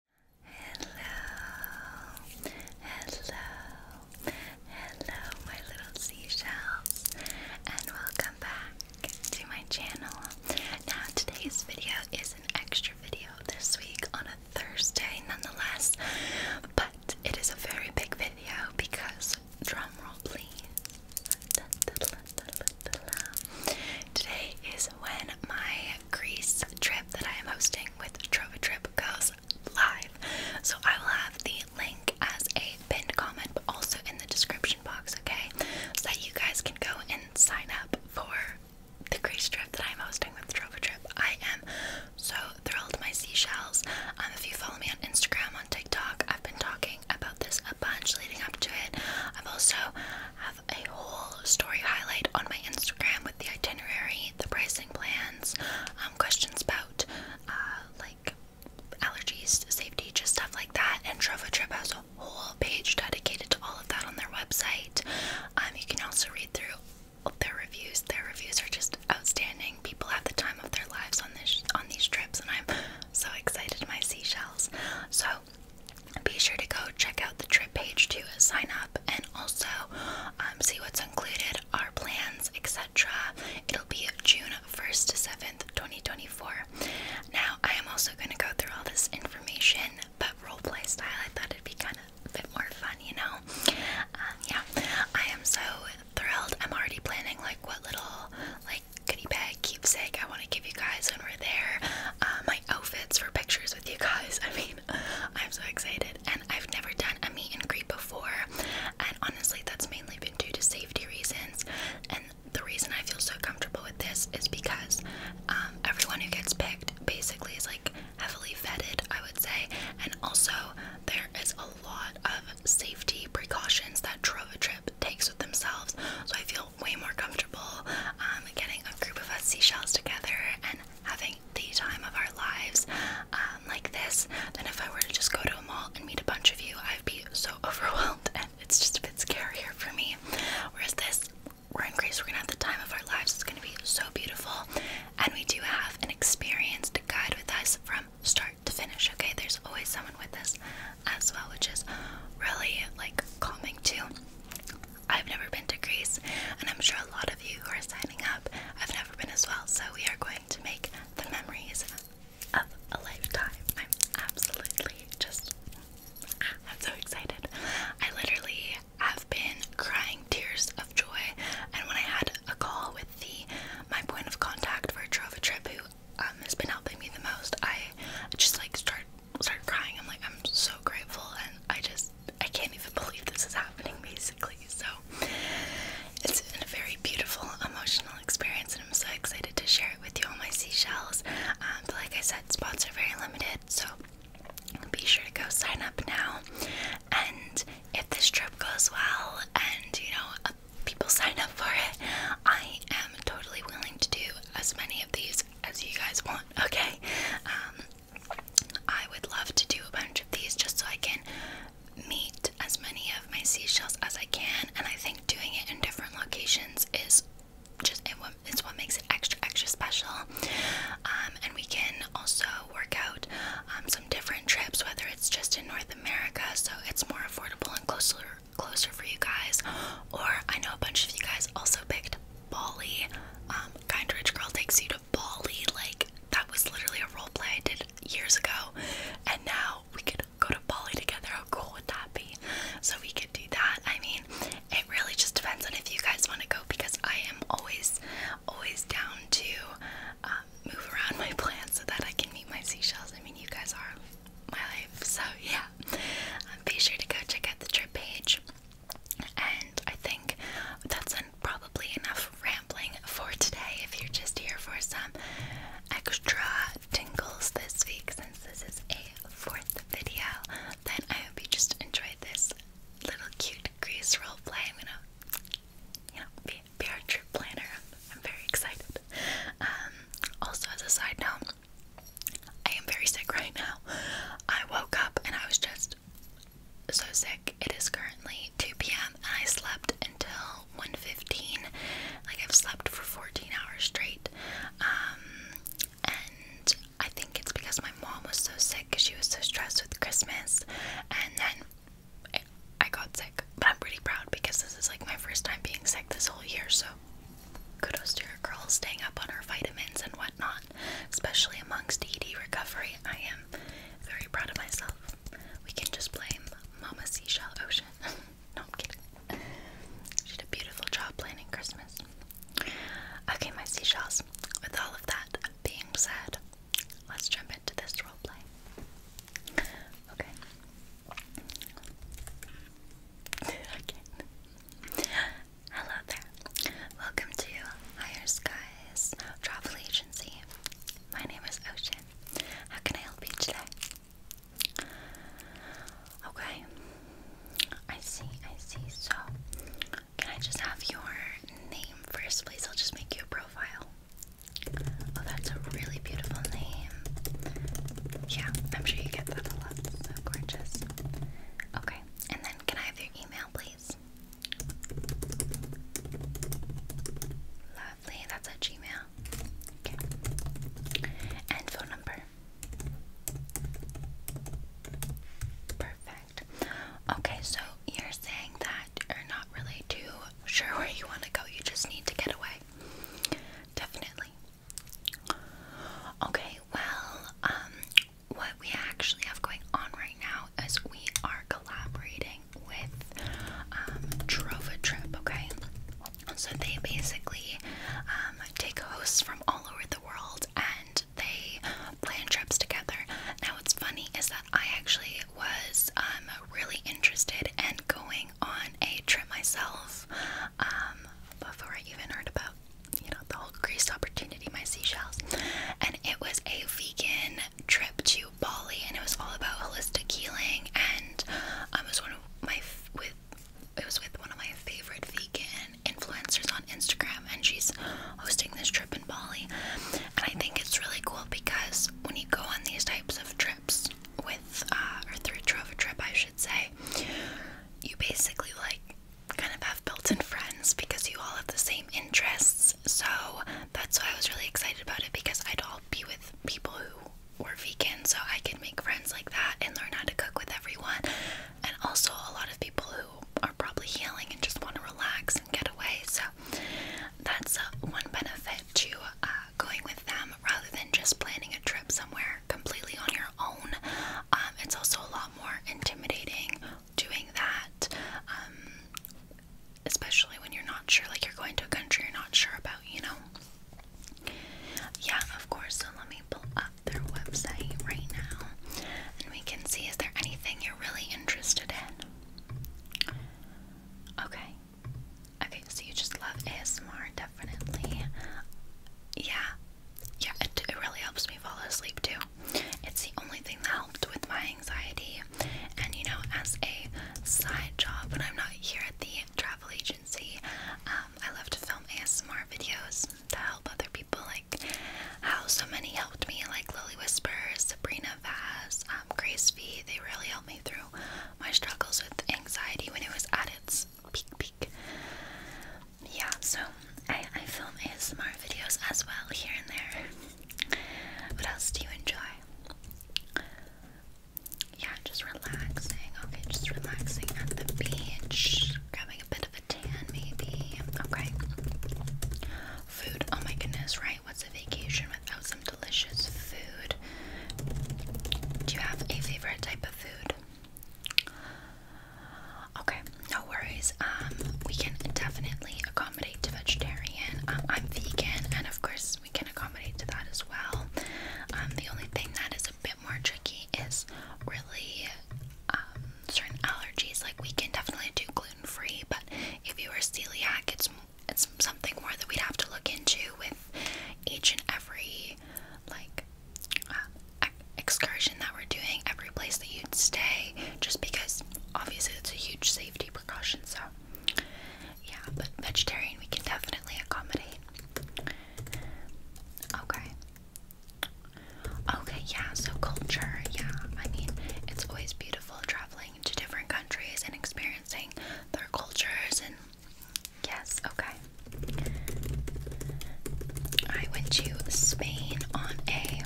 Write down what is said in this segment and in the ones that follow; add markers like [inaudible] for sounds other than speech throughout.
Hello, hello, hello, my little seashells, and welcome back to my channel. Now, today's video is an extra video this week on a Thursday, nonetheless, but it is a very big video because, drumroll please, Today is when my Greece trip that I am hosting with Trova Trip goes live. So I will have the link as a pinned comment, but also in the description box, okay? So that you guys can go and sign up for the Greece trip that I'm hosting with Trova Trip. I am so thrilled my seashells. Um, if you follow me on Instagram, on TikTok, I've been talking about this a bunch leading up to it. i am also have a whole story highlight on my Instagram with the itinerary, the pricing plans, um, questions about uh, like allergies, safety, just stuff like that. And Trova Trip has a whole page dedicated to all of that on their website. Um, you can also read through their reviews. Their reviews are just outstanding. People have the time of their lives on this on these trips, and I'm so excited. My seashells. So be sure to go check out the trip page to sign up and also um, see what's included, our plans, etc. It'll be June 1st to 7th, 2024. Now, I am also going to go through all this information, but role play style, I thought it'd be kind of more fun, you know? Um, yeah, I am so thrilled. I'm already planning, like, what little, like, goodie bag keepsake I want to give you guys when we're there. Uh, my outfits for pictures with you guys. [laughs] I mean, I'm so excited, and I've never done a meet and greet before, and honestly, that's mainly been due to safety reasons. And the reason I feel so comfortable with this is because um, everyone who gets picked basically is like heavily vetted, I would say, and also there is a lot of safety precautions that Trova Trip takes with themselves, so I feel way more comfortable. Um, um, getting a group of us seashells together and having the time of our lives um, like this than if I were to just go to a mall and meet a bunch of you. I'd be so [laughs] overwhelmed and it's just a bit scarier for me. Whereas this, we're in Greece, we're gonna have the time of our lives. It's gonna be so beautiful. And we do have an experienced guide with us from start to finish, okay? There's always someone with us as well, which is really like calming too. I've never been to Greece, and I'm sure a lot of you who are signing up have never been as well. So we are going to make the memories of a lifetime. I'm absolutely just [laughs] I'm so excited. I literally have been crying tears of joy, and when I had a call with the my point of contact for a Trova Trip, who um, has been helping me the most, I just like started start crying. I'm like, I'm so grateful, and I just I can't even [laughs] believe this is happening, basically. So it's been a very beautiful emotional experience, and I'm so excited to share it with you. All my seashells, um, but like I said, spots are very limited, so be sure to go sign up now. And if this trip goes well, and you know. Uh, people sign up for it, I am totally willing to do as many of these as you guys want, okay? Um, I would love to do a bunch of these just so I can meet as many of my seashells as I can, and I think doing it in different locations is just it's what makes it extra extra special. Um, and we can also work out um, some different trips, whether it's just in North America, so it's more affordable and closer closer for you guys. Or I know a bunch of you guys also picked Bali. Um, kindred Girl takes you to Bali. Like, that was literally a role play I did years ago. And now we could go to Bali together. How cool would that be? So we could do that. I mean, it really just depends on if you guys want to go because I am always, always down to um, move around my [laughs] plans so that I can meet my seashells. I mean, you guys are my life. So, yeah. Um, be sure to go check out the trip page. And I think that's probably enough rambling for today if you're just here for some extra tingles this week since this is a fourth video. Then I hope you just enjoyed this little cute grease role play. I'm gonna, you know, be, be our trip planner. I'm, very excited. Um, also, as a side note, I am very sick right now. I woke up and I was just so sick. It is currently 2 p.m. and I slept until 1:15. Like I've slept for 14 hours straight. Um, and I think it's because my mom was so sick because she was so stressed with Christmas and then I got sick. But I'm pretty proud because this is like my first time being sick this whole year, so Kudos to your girl staying up on her vitamins and whatnot, especially amongst ED recovery. I am very proud of myself. We can just blame Mama Seashell Ocean. [laughs] no, I'm kidding. She did a beautiful job planning Christmas. Okay, my seashells, with all of that being said, let's jump into this roleplay. Okay. okay. [laughs] Hello there. Welcome to Higher Skies Travel Agency. My name is Ocean. How can I help you today? Okay. I see, I see. So, can I just have your name first, please? I'll just make you a profile. Oh, that's a really beautiful name. Yeah, I'm sure you get that a lot. So gorgeous. Okay, and then can I have your email, please? Lovely, that's a Gmail. Okay. And phone number. Perfect. Okay, so you're saying that you're not really too sure where you want to go, you just need to get away. Definitely. Okay, well, um, what we actually have going on right now is we are collaborating with um, Trova Trip, okay? So they basically um, take hosts from all over the world and they plan trips together. Now, what's funny is that I actually was um, really interested in going on a trip myself um, before I even heard about you know, the whole Greece opportunity, my seashells. And it was a vegan trip to Bali, and it was all about holistic healing. And I was one of my with it was with one of my favorite vegan influencers on Instagram, and she's hosting this trip in Bali. And I think it's really cool because when you go on these types of trips with uh, or through a travel trip, I should say, you basically like kind of have built in friends because you all have the same interests. So that's why I was really excited about it because I'd all be with people who were vegan, so I can make friends like that and learn how to cook with everyone. And also, a lot of people who are probably healing and just want to relax and get away. So that's uh, one benefit to uh, going with them rather than just planning a trip somewhere completely on your own. Um, it's also a lot more intimidating doing that, um, especially when you're not sure, like you're going to a country you're not sure about, you know? Yeah, of course. So let me pull up their website right now and we can see is there anything you're really interested in? Okay. Okay, so you just love ASMR definitely. Yeah, yeah, it, really helps me fall asleep too. It's the only thing that helped with my anxiety. And you know, as a side job, when I'm not here at the travel agency, um, I love to film ASMR videos to help other people, like how so many helped me, like Lily Whispers, Sabrina Vaz, um, Grace V. They really helped me through my struggles with anxiety when it was at its peek peek. Yeah, so I, I film ASMR videos as well here and there. What else do you enjoy? Yeah, just relaxing. Okay, just relaxing at the beach, grabbing a bit of a tan maybe. Okay. Food. Oh my goodness, right? What's a vacation without some delicious food? Do you have a favorite type of food? Okay, no worries. Um, we can definitely accommodate to vegetarian. Um, I'm vegan, and of course, we can accommodate to that as well. Um, the only thing that is a bit more tricky is really um, certain allergies. Like we can definitely do gluten free, but if you are celiac, it's it's something more that we'd have to look into with each and every like uh, excursion that we're doing, every place that you'd stay, just because obviously it's a huge safety precaution. So, yeah, but vegetarian we can definitely accommodate. Okay. Okay, yeah, so culture, yeah. I mean, it's always beautiful traveling to different countries and experiencing their cultures and Yes, okay. I went to Spain on a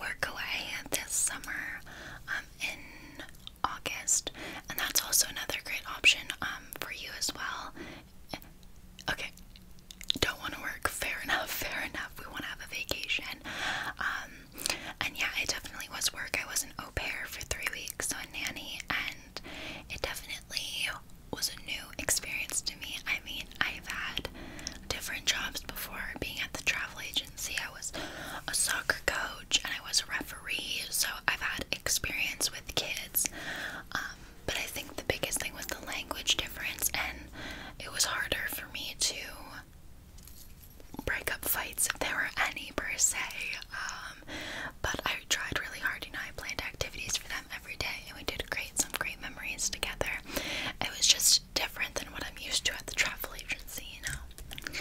workaway this summer um, in August, and that's also another great option um, for you as well. Okay, don't want to work. [laughs] Fair enough, fair enough. We want to have a vacation. Um, and yeah, it definitely was work. I was an au pair for three weeks, so a nanny, and it definitely was a new experience to me. I mean, I've had different jobs before. Being at the travel agency, I was a soccer coach and I was a referee, so I've had experience with kids. Um, but I think the biggest thing was the language difference, and it was harder for me to break up fights if there were any per se. Um, but I tried really hard, you know, I planned activities for them every day and we did create some great memories together. It was just different than what I'm used to at the travel agency, you know.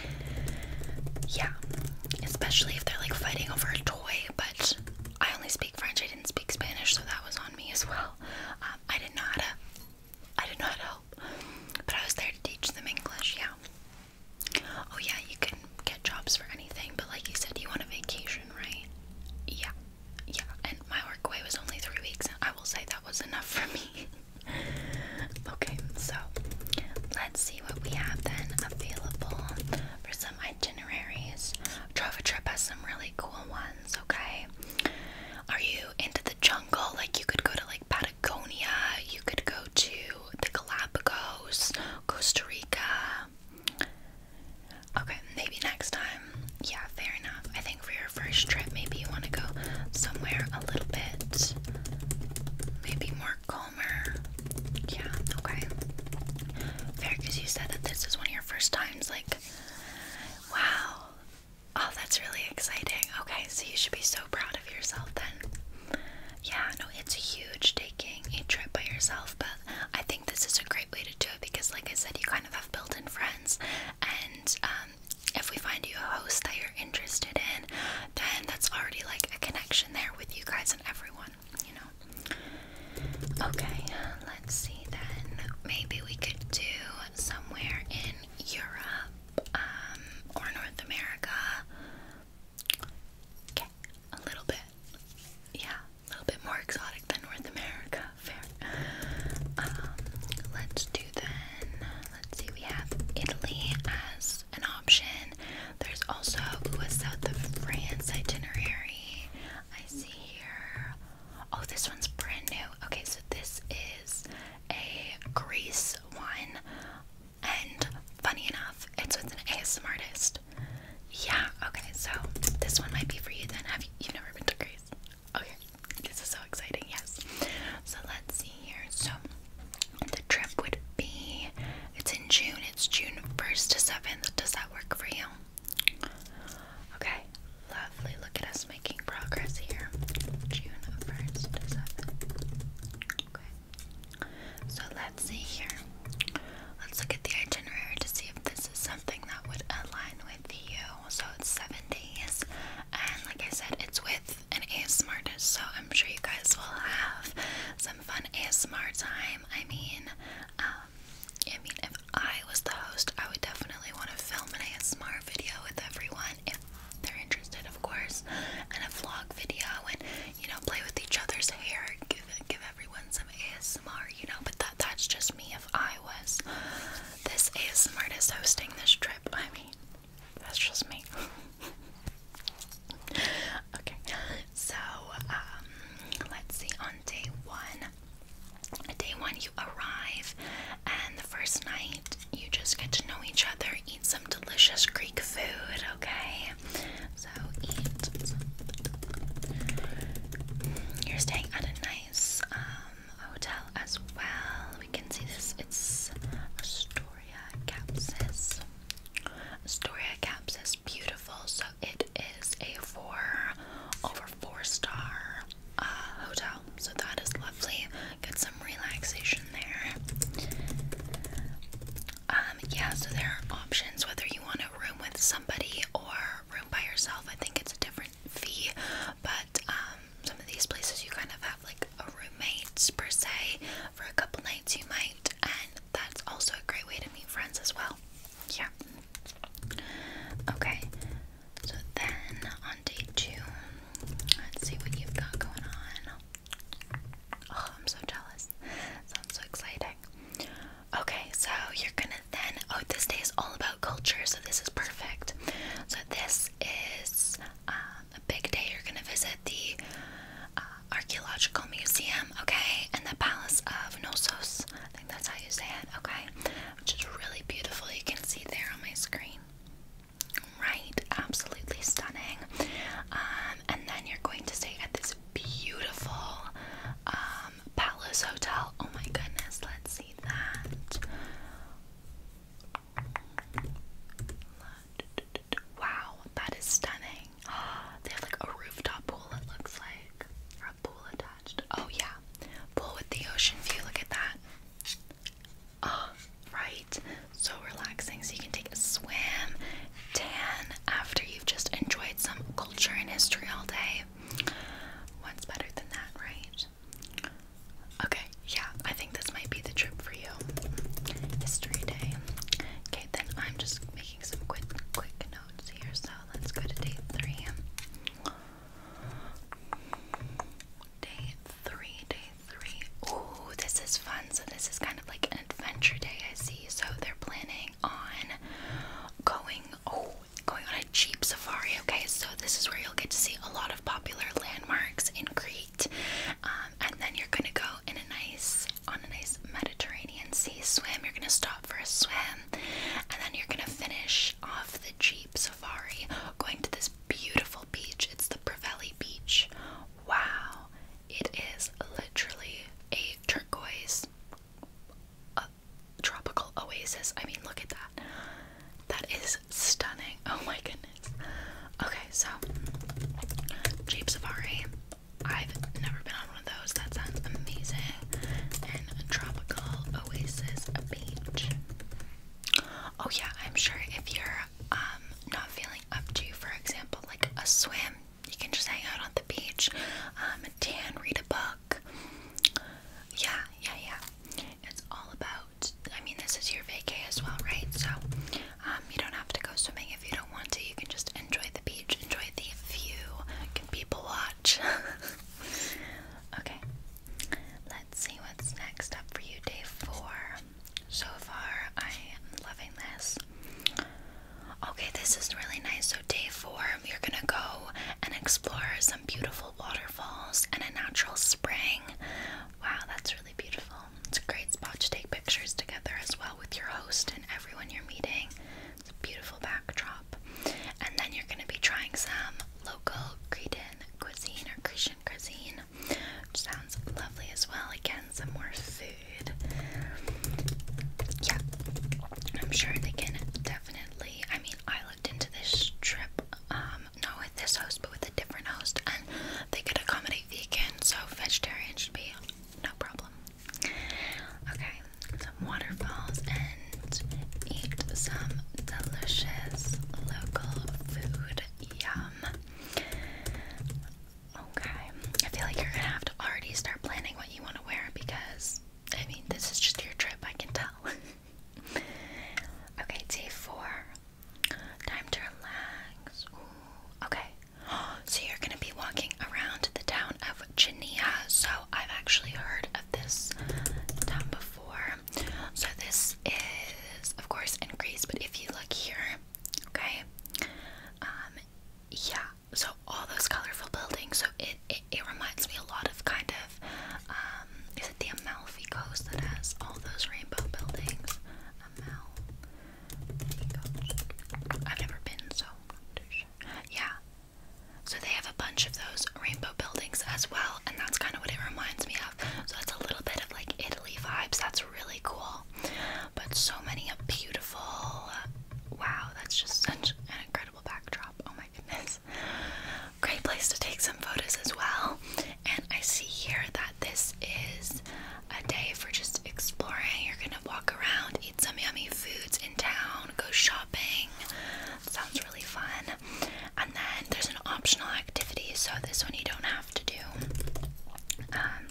Yeah. Especially if they're like fighting over a toy, but I only speak French, I didn't speak Spanish, so that was on me as well. Um, I didn't know to I didn't know to help. But I was there to teach them English, yeah. Oh yeah, you can get jobs for anything, but like you said, you want a vacation, right? Yeah, yeah. And my work away was only three weeks, I will say that was enough for me. [laughs] okay, so let's see what we have then available for some itineraries. Travel Trip has some really cool ones, okay? Are you into the jungle? Like, you could go to like Patagonia, you could go to the Galapagos, Costa Rica. Okay, maybe next time. Yeah, fair enough. I think for your first trip, maybe you want to go somewhere a little bit, maybe more calmer. Yeah, okay. Fair, because you said that this is one of your first times. Like, wow. Oh, that's really exciting. Okay, so you should be so proud of yourself then. Yeah, no, it's huge taking a trip by yourself, but I think this is a great way to do it because, like I said, you kind of have built in friends. And um, if we find you a host that you're interested in, then that's already like a connection there with you guys and everyone, you know. Okay, let's see then. Maybe we could do somewhere in Europe um, or North America. Okay, a little bit. Yeah, a little bit more exotic than North America. Fair. Um, let's do then. Let's see. We have Italy as an option. There's also ooh, a south of France itinerary. I see here. Oh, this one's brand new. Okay, so this is a Greece one, and funny enough, it's with an ASMR artist. Yeah, okay, so this one might be for you then. Have you never been to Greece? Okay, this is so exciting, yes. So let's see here. So the trip would be it's in June, it's June first to seventh. Does that work for you? Okay, lovely. Look at us making progress here. June first to seventh. Okay. So let's see here. Let's look at the itinerary to see if this is something that would align with you. So it's seven days, and like I said, it's with an ASMR artist, so I'm sure you guys will have some fun ASMR time. I mean, um, I mean, if I was the host, I would definitely want to film an ASMR video with everyone if they're interested, of course, and a vlog video and you know, play with each other's hair, give give everyone some ASMR, you know. But that that's just me. If I was this ASMR artist hosting this trip, I mean, that's just me. [laughs] okay, so um, let's see. On day one, day one you arrive, and the first night you just get to know each other, eat some delicious Greek food, okay? So You're staying at a nice um, hotel as well. We can see this. It's Astoria Capsis. Astoria Capsis, beautiful. So it is a four over four star uh, hotel. So that is lovely. Get some relaxation there. Um, yeah, so there are options whether you want a room with somebody or room by yourself. I think it's a different fee, but um, some of these places you kind of have like a roommate per se for a couple nights, you might, and that's also a great way to meet friends as well. Yeah. Okay, so then on day two, let's see what you've got going on. Oh, I'm so jealous. Sounds so exciting. Okay, so you're gonna then. Oh, this day is all about culture, so this is perfect. So, this is um, a big day. You're gonna visit the uh, Archaeological Museum, okay, and the Palace of Knossos. I think that's how you say it, okay, which is really beautiful. You can see there on my screen. Right, absolutely stunning. Um, and then you're going to stay at this beautiful um, Palace Hotel. Oh my goodness, let's see that. Wow, that is stunning. [gasps] They have like a rooftop pool, it looks like. Or a pool attached. Oh, yeah. Pool with the ocean view. Look at that. Oh, [gasps] right. So relaxing. So you can take a swim tan after you've just enjoyed some culture and history all day. What's better than that, right? Okay, yeah, I think this might be the trip for you. History day. Okay, then I'm just making some quick quick notes here, so let's go to day three. Day three, day three. Ooh, this is fun. So this is kind of like an adventure day, I see. So they're planning on going oh going on a cheap safari okay so this is where you'll get to see a lot of popular landmarks in Crete um, and then you're gonna go in a nice on a nice Mediterranean sea swim you're gonna stop for a swim and then you're gonna finish off the jeep safari going to this beautiful beach it's the Preveli beach wow it is literally a turquoise uh, tropical oasis. I mean, look at that. That is stunning. Oh my goodness. Okay, so Jeep Safari. I've never been on one of those. That sounds amazing. And tropical oasis a beach. Oh yeah, I'm sure if you're um, not feeling up to, for example, like a swim you can just hang out on the beach, um, tan, read a book. Yeah, yeah, yeah. It's all about. I mean, this is your vacay as well, right? So, um, you don't have to go swimming if you don't want to. You can just enjoy the beach, enjoy the view, you people watch. [laughs] okay, let's see what's next up for you, day four. So far, I am loving this. Okay, this is really nice. So, day four, you're gonna go and explore some beautiful waterfalls and a natural spring. Wow, that's really beautiful. It's a great spot to take pictures together as well with your host and everyone you're meeting. It's a beautiful backdrop. And then you're gonna be trying some local Cretan cuisine or Cretan cuisine, which sounds lovely as well. Again, some more food. Yeah, I'm sure they can definitely. I mean, I looked into this trip, um, not with this host, but with a different host, and they could accommodate vegans, so vegetarian should be no problem. Okay, some waterfalls and eat some delicious local food. Yum. Okay, I feel like you're gonna have to already start planning what you want to wear because I mean, this is just your trip, I can tell. [laughs] okay, day four. Time to relax. okay, [gasps] so you're gonna be walking around the town of Chania. So, I've actually heard of this town before. So, this is, of course, increased. but if you look here, okay, um, yeah, so all those colorful buildings. So it, it it reminds me a lot of kind of um, is it the Amalfi Coast that has all those rainbow buildings? Amalfi Coast. I've never been, so Yeah. So they have a bunch of those rainbow buildings as well, and that's kind of what it reminds me of. So it's a little bit of like Italy vibes. That's really cool but so many beautiful. Wow, that's just such an incredible backdrop. Oh my goodness. Great place to take some photos as well. And I see here that this is a day for just exploring. You're gonna walk around, eat some yummy foods in town, go shopping. Sounds really fun. And then there's an optional activity, so this one you don't have to do. Um,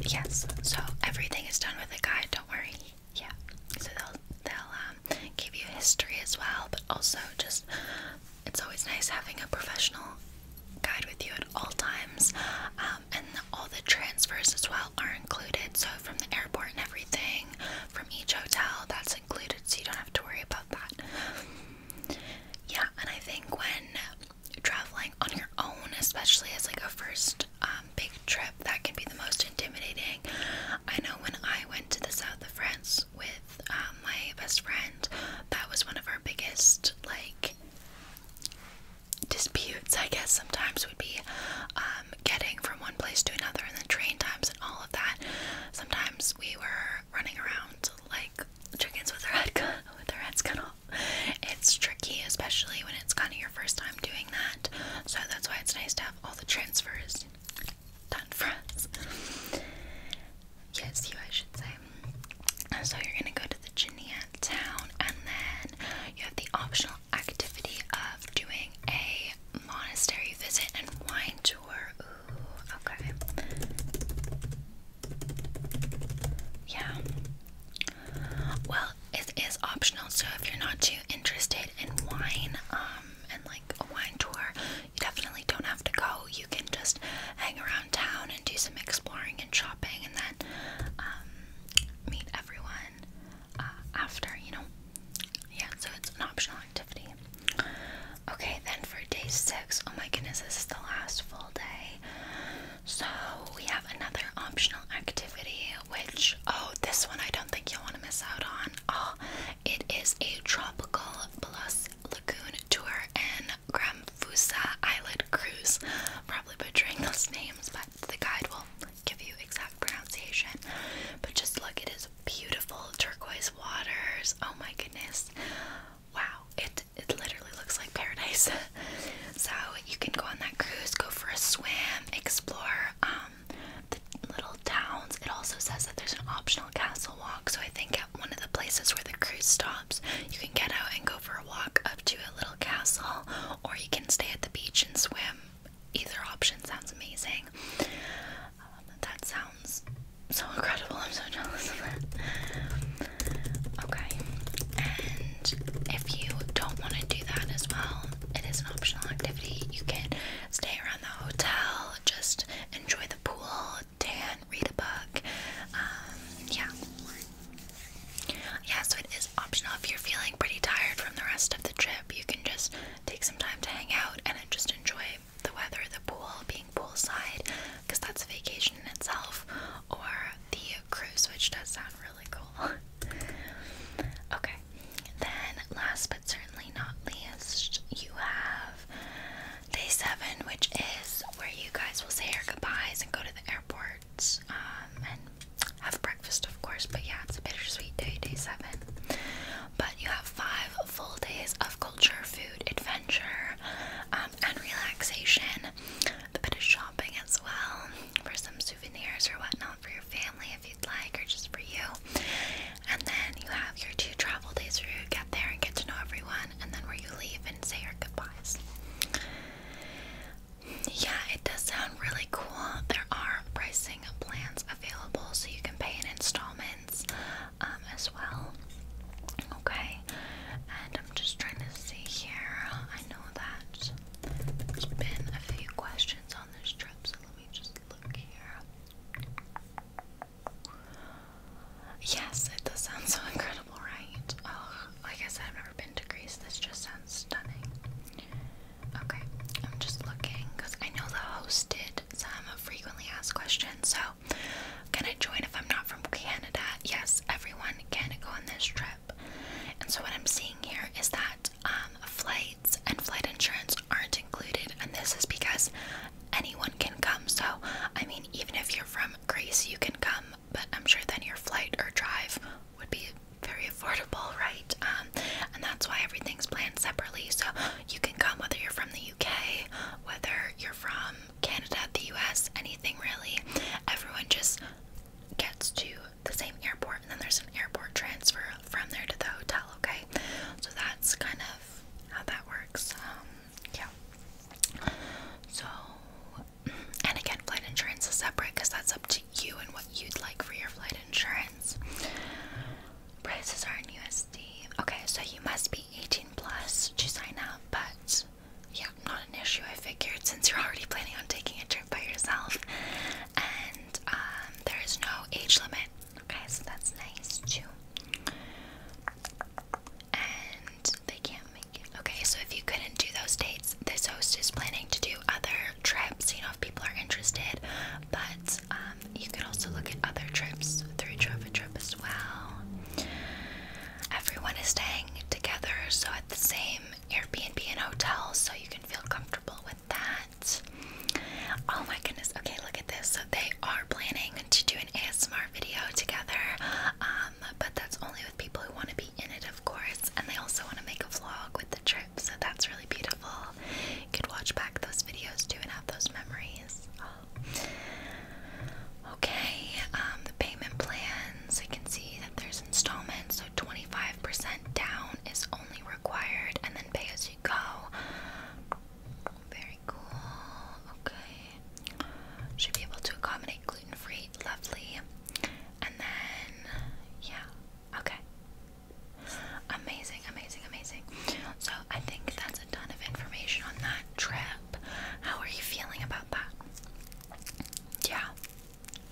yes, so everything is done with a guide, don't worry. Yeah, so they'll, they'll um, give you history as well, but also just it's always nice having a professional guide with you at all times. Um, and all the transfers as well are included, so from the airport and everything, from each hotel, that's included, so you don't have to worry about that. Yeah, and I think when traveling on your own, especially as like a first um, big trip, that can be the most intimidating. I know when I went to the south of France with um, my best friend, that was one of our biggest like disputes. I guess sometimes we would be um, getting from one place to another, and the train times and all of that. Sometimes we were running around like chickens with their heads cut, [laughs] with their heads cut it's tricky, especially when it's kind of your first time doing that. So that's why it's nice to have all the transfers done for us. yes, you, I should say. So you're gonna go to the Genia town, and then you have the optional activity of doing a monastery visit and wine tour. okay. Yeah. Well, it is optional, so if you're not too interested in wine, um, and like a wine tour, you definitely don't have to go. You can just hang around town and do some exploring and shopping, and then um, meet everyone uh, after, you know. Yeah, so it's an optional activity. Okay, then for day six, oh my goodness, this is the last full day. So we have another optional activity, which oh, this one I don't think you'll want to miss out on. Oh, it is a tropical plus lagoon tour and Gramfusa Island cruise. Probably butchering those names, but the guide will give you exact pronunciation. But just look, it is beautiful turquoise waters. Oh my goodness. Wow, it it literally looks like paradise. [laughs] so you can go on that cruise, go for a swim, explore um, the little towns. It also says that there's an optional castle walk. So I think at one of the places where the cruise stops, you can get out and go for a walk up to a little castle, or you can stay at the beach and swim. Either option sounds amazing. Um, that sounds so incredible. I'm so jealous of that. Okay, if you don't want to do that as well, it is an optional activity. You can stay around the hotel, just enjoy the pool, tan, read a book. Um, yeah. Yeah, so it is optional. If you're feeling pretty tired from the rest of the trip, you can just take some time to hang out and just enjoy the weather, the pool, being poolside, because that's a vacation in itself, or the cruise, which does sound really cool. [laughs] okay, then last but certainly not least, you have day seven, which is where you guys will say your goodbyes and go to the airports, um, and have breakfast, of course. But yeah, it's a bittersweet day, day seven. But you have five full days of culture, food, adventure, um, and relaxation a bit of shopping as well for some souvenirs or whatnot for your family if you'd like, or just for you. And then you have your two travel days where you get there and get to know everyone, and then where you leave and say your goodbyes. Yeah, it does sound really cool. There are pricing plans available, so you can pay in installments um, as well. Okay, and I'm just trying to see here. I know that there's been a few questions on this trip, so let me just look here. Yes, it does sound so [laughs] incredible, right? like I said, I've never been to Greece. This just sounds stunning. Okay, I'm just looking because I know the host did some frequently asked questions. So, can I join if I'm not from Canada? Yes, everyone can go on this trip. And so, what I'm seeing here is that um, flights and flight insurance aren't included, and this is because anyone can come. So, I mean, even if you're from Greece, you can come, but I'm sure then your flight or drive would be very affordable, right? Um, and that's why everything's planned separately. So, you can come whether you're from the UK, whether you're from Canada, the US, anything really. Everyone just gets to the same airport and then there's an airport transfer from there to the hotel, okay? So that's kind of how that works. Um, yeah. So, and again, flight insurance is separate because that's up to you and what you'd like for your flight insurance. Prices are in USD. Okay, so you must be 18 plus to sign up, but yeah, not an issue. I figured since you're already planning on taking a trip by yourself, and um, there is no age limit. Okay, so that's nice too. And they can't make it. Okay, so if you couldn't do those dates, this host is planning to do other trips. You know, if people are interested, but um, you could also look at other trips through Trova Trip as well. Everyone is staying together, so at the same Airbnb and hotel, so you can feel comfortable with that. Oh my goodness, okay, look at this. So they are planning to do an ASMR video together, um, but that's only with people who want to be in it, of course, and they also want to make a vlog with the trip, so that's really beautiful. You could watch back those videos too and have those memories. Okay, um, the payment plans, I can see that there's installment. so 25% down is only required, and then pay as you go. Very cool, okay. Should be able to accommodate gluten-free, lovely. And then, yeah, okay. Amazing, amazing, amazing. So I think that's a ton of information on that trip. How are you feeling about that? Yeah,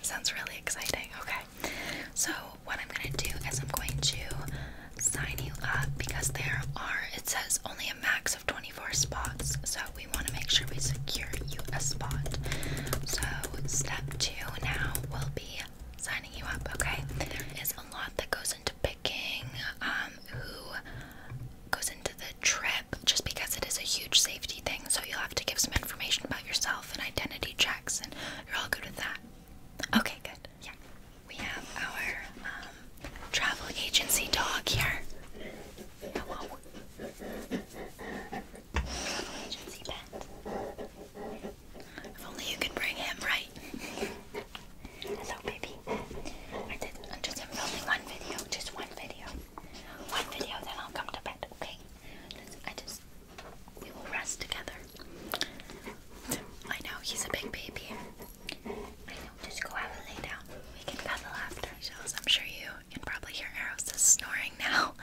sounds really exciting. Okay, so what I'm gonna do is I'm going to sign you up because there are, it says only a max of 24 spots, so we want to make sure we secure you a spot. So, step two now will be signing you up, okay? There is a lot that goes into picking, um, who goes into the trip, just because it is a huge safety thing. So you'll have to give some information about yourself and identity checks, and you're all good with that. Okay, good. Yeah. We have our um, travel agency dog here. Oh, travel agency pet. If only you could bring him right. Hello, baby. I did. not I just am filming one video, just one video one video, then I'll come to bed, okay? I just, we will rest together. I know, he's a big baby. I know, just go out and lay down. We can cuddle after. I'm sure you can probably hear Eros is snoring now.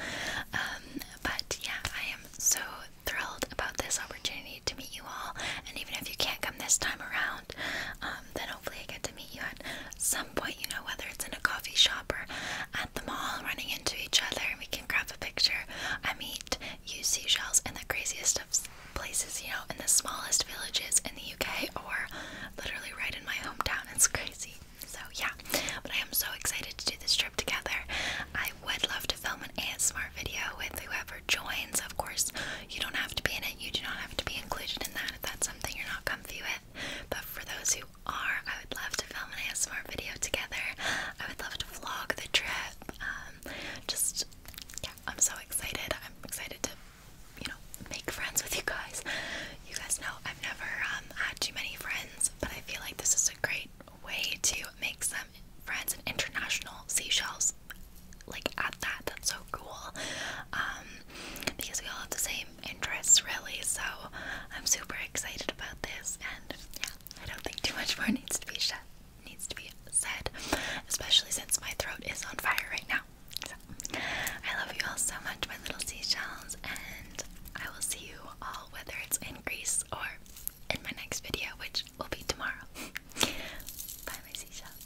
Um, but yeah, I am so thrilled about this opportunity to meet you all. And even if you can't come this time around, around, um, then hopefully I get to meet you at some point, you know, whether it's in a coffee shop or at the mall running into each other and we can grab a picture. I meet you seashells in the craziest of places, you know, in the smallest villages in the UK or literally right in my hometown. [laughs] It's crazy. So, yeah, but I am so excited to do this trip together. I would love to film an ASMR video with whoever joins. Of course, you don't have to be in it, you do not have to be included in that that's something you're not comfy with. But for those who are, I would love to film and have an ASMR video together. I would love to vlog the trip. Um, just, yeah, I'm so excited. I'm excited to, you know, make friends with you guys. You guys know I've never um, had too many friends, but I feel like this is a great way to make some friends in international seashells like at that. That's so cool. Um, because we all have the same interests, really. So I'm super excited about this, and yeah, I don't think too much more needs to be said. Needs to be said, especially since my throat is on fire right now. So, I love you all so much, my little seashells, and I will see you all, whether it's in Greece or in my next video, which will be tomorrow. [laughs] Bye, my seashells.